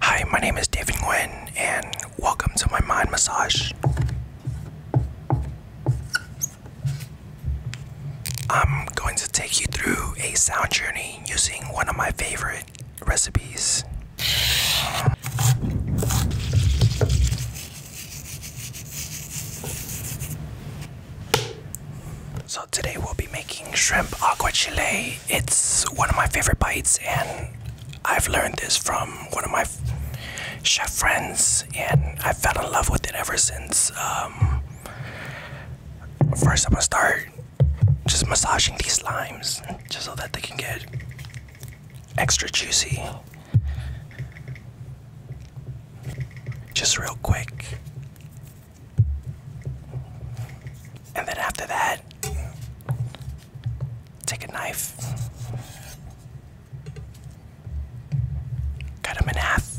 Hi, my name is David Nguyen, and welcome to my mind massage. I'm going to take you through a sound journey using one of my favorite recipes. So today we'll be making shrimp agua chile. It's one of my favorite bites and I've learned this from one of my chef friends and I have fell in love with it ever since. Um, first I'm gonna start just massaging these limes just so that they can get extra juicy. Just real quick. And then after that, take a knife, cut them in half.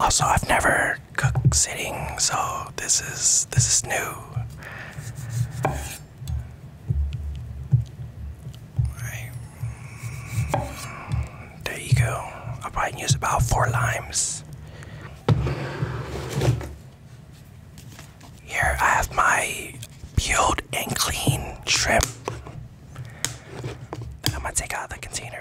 Also, I've never cooked sitting, so this is this is new. There you go. I'll probably use about four limes. Here I have my peeled and clean shrimp. That I'm gonna take out of the container.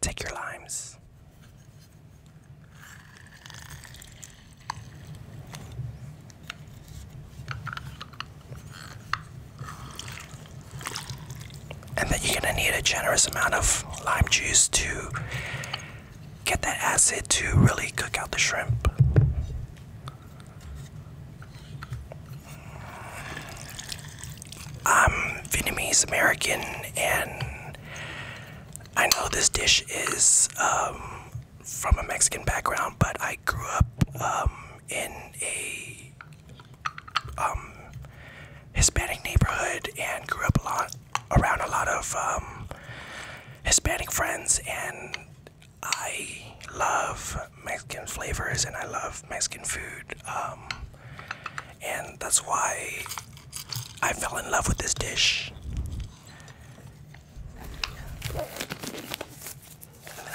Take your limes. And then you're gonna need a generous amount of lime juice to get that acid to really cook out the shrimp. I'm Vietnamese American, and I know this dish is um, from a Mexican background, but I grew up um, in a um, Hispanic neighborhood and grew up a lot around a lot of Hispanic friends, and I love Mexican flavors and I love Mexican food, um, and that's why I fell in love with this dish. I'm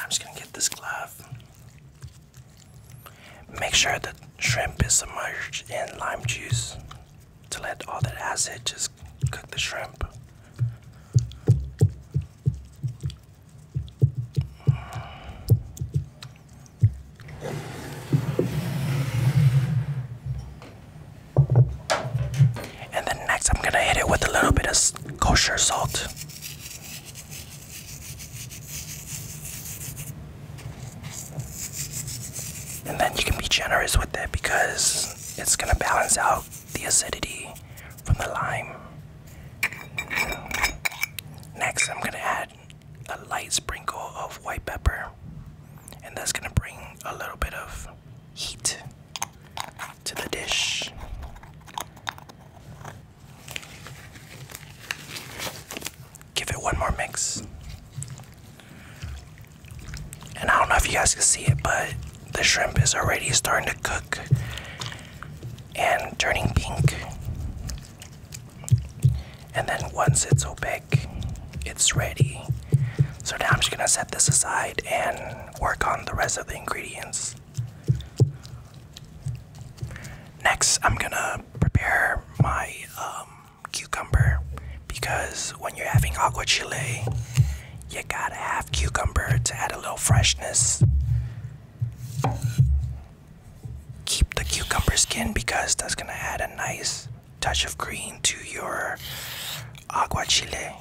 just gonna get this glove. Make sure the shrimp is submerged in lime juice to let all that acid just cook the shrimp. And then next, I'm gonna hit it with a little bit of kosher salt. And then you can be generous with it because it's gonna balance out the acidity from the lime. Next, I'm gonna add a light sprinkle of white pepper, and that's gonna bring a little bit of heat to the dish. Give it one more mix. And I don't know if you guys can see it, but the shrimp is already starting to cook and turning pink. And then once it's opaque, it's ready. So now I'm just gonna set this aside and work on the rest of the ingredients. Next, I'm gonna prepare my um, cucumber because when you're having agua chile, you gotta have cucumber to add a little freshness. Keep the cucumber skin because that's gonna add a nice touch of green to your agua chile.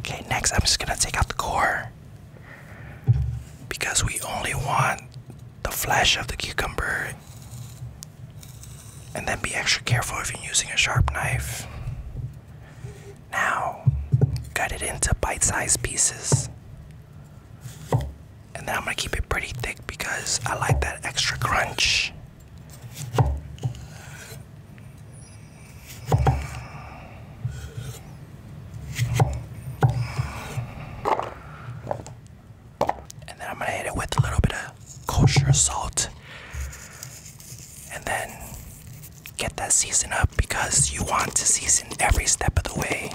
Okay, next I'm just gonna take out the core because we only want the flesh of the cucumber. And then be extra careful if you're using a sharp knife. Now, cut it into bite sized pieces. And then I'm gonna keep it pretty thick because I like that extra crunch. And then I'm gonna hit it with a little bit of kosher salt. And then get that season up because you want to season every step of the way.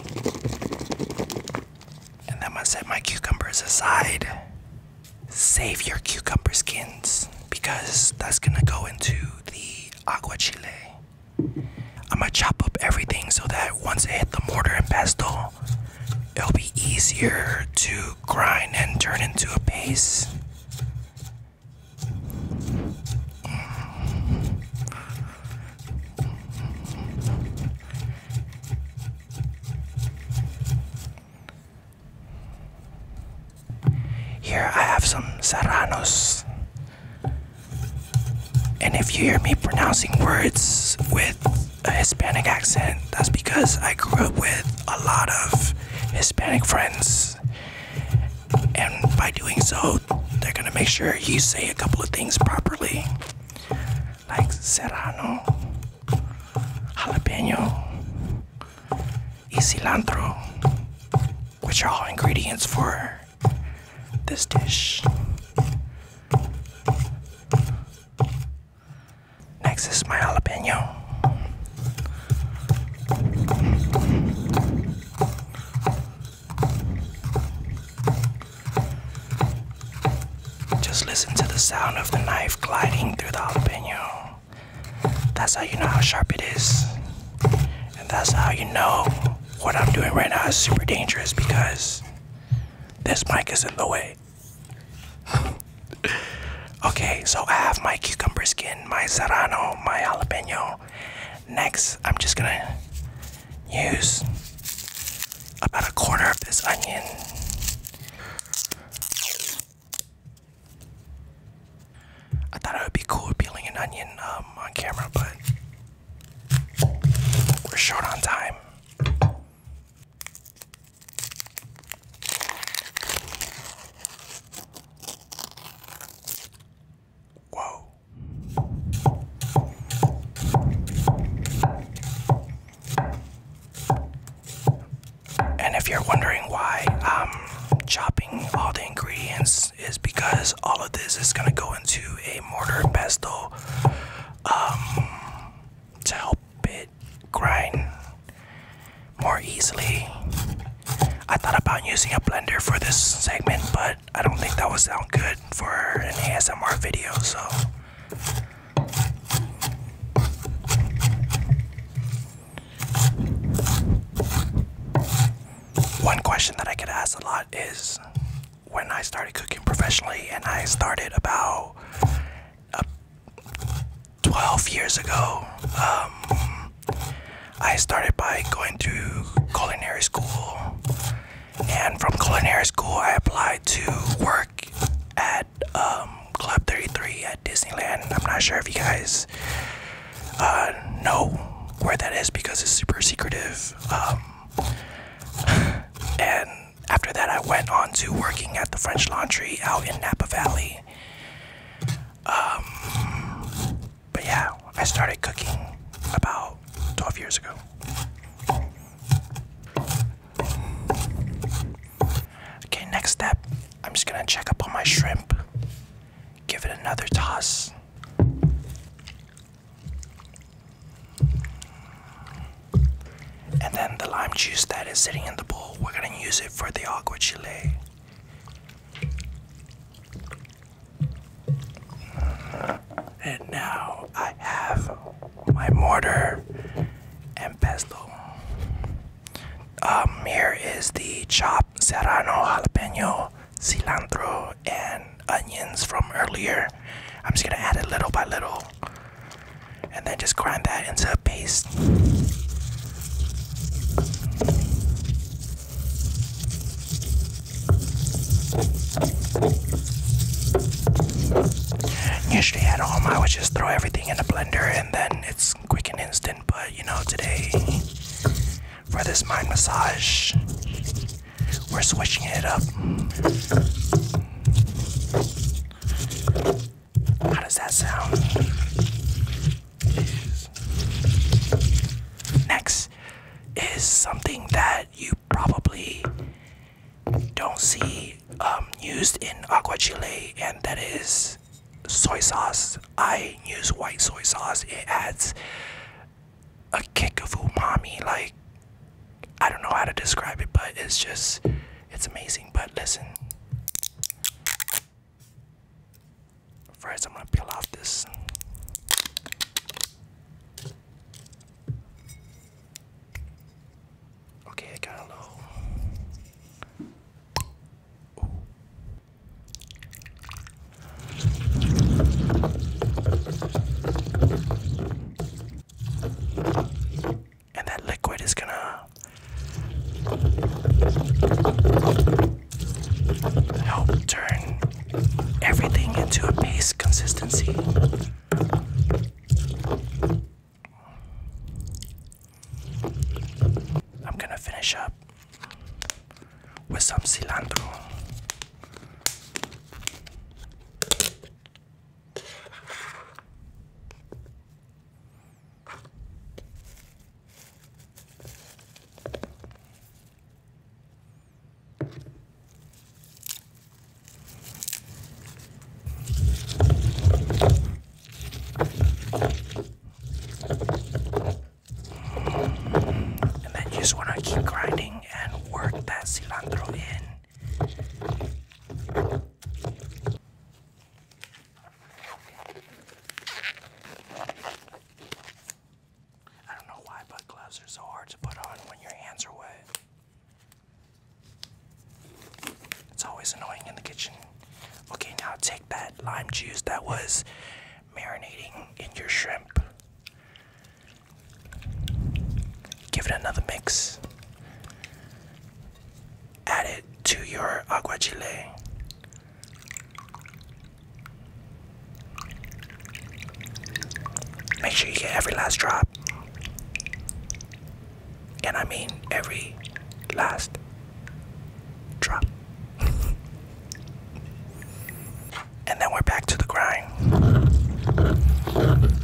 And then I'm gonna set my cucumbers aside save your cucumber skins because that's gonna go into the agua chile. I'm gonna chop up everything so that once I hit the mortar and pestle, it'll be easier to grind and turn into a paste. Here I have some serranos. And if you hear me pronouncing words with a Hispanic accent, that's because I grew up with a lot of Hispanic friends. And by doing so, they're gonna make sure you say a couple of things properly, like serrano, jalapeno, is cilantro, which are all ingredients for this dish. Next is my jalapeno. Just listen to the sound of the knife gliding through the jalapeno. That's how you know how sharp it is. And that's how you know what I'm doing right now is super dangerous because this mic is in the way. okay, so I have my cucumber skin, my serrano, my jalapeno. Next, I'm just gonna use about a quarter of this onion. I thought it would be cool peeling an onion um, on camera, but we're short on time. Whoa. And if you're wondering why I'm um, chopping all the ingredients, is because all of this is gonna go into a mortar and pestle um, to help it grind more easily. I thought about using a blender for this segment, but I don't think that would sound good for an ASMR video, so one question that I get asked a lot is when I started cooking professionally, and I started about uh, 12 years ago. Um, I started by going to culinary school, and from culinary school, I applied to work at um, Club 33 at Disneyland. I'm not sure if you guys uh, know where that is because it's super secretive. Um, and after that, I went on to working at the French Laundry out in Napa Valley. Um, but yeah, I started cooking about 12 years ago. Okay, next step, I'm just gonna check up on my shrimp, give it another toss. And then the lime juice that is sitting in the bowl, we're gonna use it for the agua chile. And now I have my mortar and pestle. Um, here is the chopped serrano, jalapeno, cilantro, and onions from earlier. I'm just gonna add it little by little and then just grind that into a paste. Usually at home, I would just throw everything in a blender and then it's quick and instant. But you know, today for this mind massage, we're switching it up. How does that sound? Next is something that you probably don't see um, used in aguachile, and that is soy sauce. I use white soy sauce. It adds a kick of umami. Like I don't know how to describe it, but it's just it's amazing. But listen, first I'm gonna peel off this. Okay, I got a low. And that liquid is gonna help turn everything into a base consistency. I'm gonna finish up with some cilantro. And then just want to keep grinding and work that cilantro in. I don't know why, but gloves are so hard to put on when your hands are wet. It's always annoying in the kitchen. Okay, now take that lime juice that was marinating in your shrimp. Give it another mix. Add it to your aguachile. Make sure you get every last drop. And I mean every last drop. and then we're back to the grind.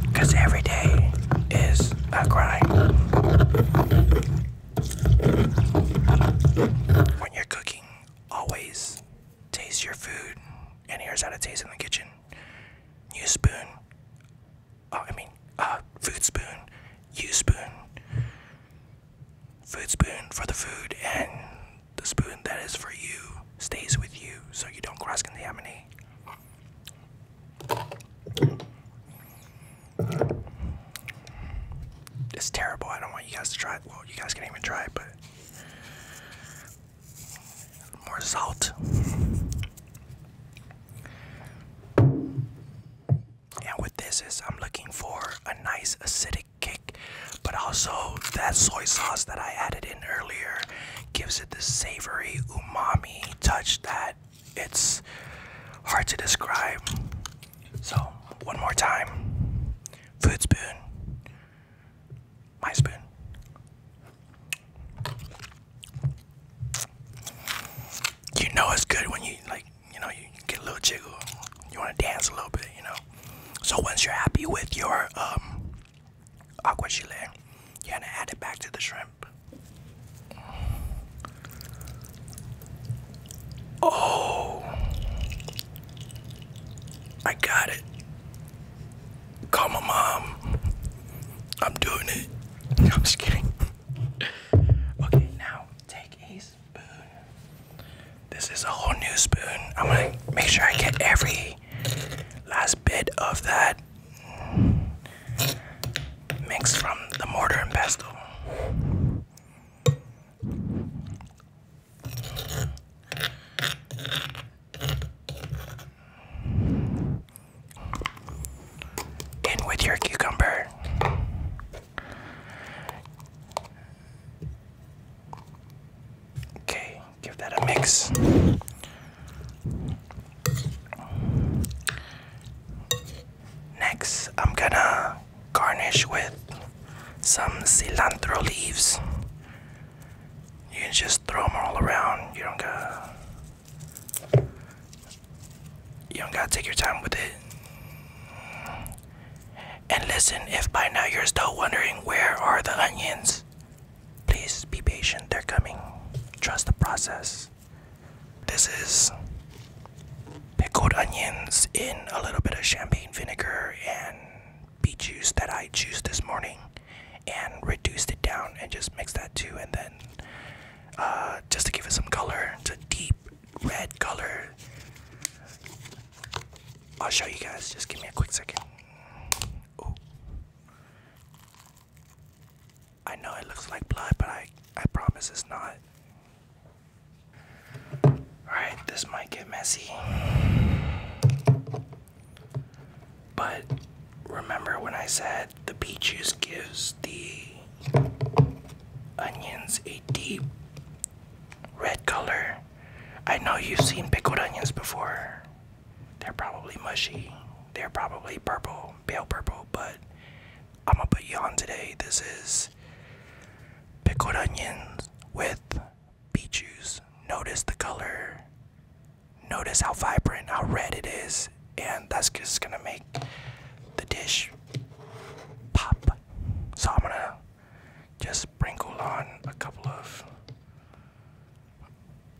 Because every day is a grind. When you're cooking, always taste your food. And here's how to taste in the kitchen new spoon. Oh, I mean, uh, food spoon, you spoon, food spoon for the food, and the spoon that is for you stays with you, so you don't cross contaminate. It's terrible. I don't want you guys to try it. Well, you guys can even try it, but more salt. And with this is I'm looking for a nice acidic kick, but also that soy sauce that I added in earlier gives it the savory umami touch that it's hard to describe. So one more time, food spoon, my spoon. You know it's good when you like, you know, you get a little jiggle. You want to dance a little bit, you know. So once you're happy with your um, aqua chile, you're gonna add it back to the shrimp. Oh, I got it. Call my mom. I'm doing it. I'm just kidding. okay, now take a spoon. This is a whole new spoon. I'm gonna make sure I get every last bit of that mix from the mortar and pestle. In with your cucumber. Okay, give that a mix. Next, I'm gonna garnish with some cilantro leaves. You can just throw them all around. You don't gotta. You don't gotta take your time with it. And listen, if by now you're still wondering where are the onions, please be patient. They're coming. Trust the process. This is pickled onions in a little bit of champagne vinegar and beet juice that I juiced this morning and reduced it down and just mixed that too and then uh, just to give it some color it's a deep red color I'll show you guys just give me a quick second Ooh. I know it looks like blood but I I promise it's not Alright this might get messy but remember when I said the beet juice gives the onions a deep red color? I know you've seen pickled onions before. They're probably mushy. They're probably purple, pale purple, but I'm gonna put you on today. This is pickled onions with Pichu's. Notice the color. Notice how vibrant, how red it is, and that's just gonna make the dish pop. So I'm gonna just sprinkle on a couple of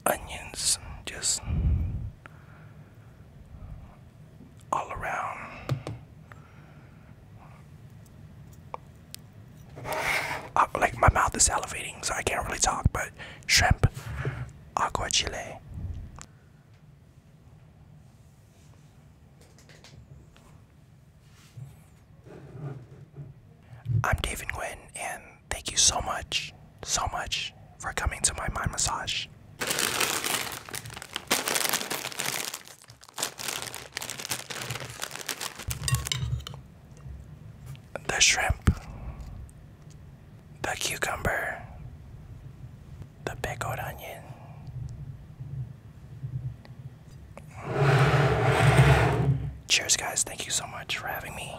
onions, just all around. Uh, like my mouth is salivating, so I can't really talk. But shrimp, agua chile. I'm David Gwynn, and thank you so much, so much for coming to my mind massage the shrimp, the cucumber, the pickled onion. Cheers, guys. Thank you so much for having me.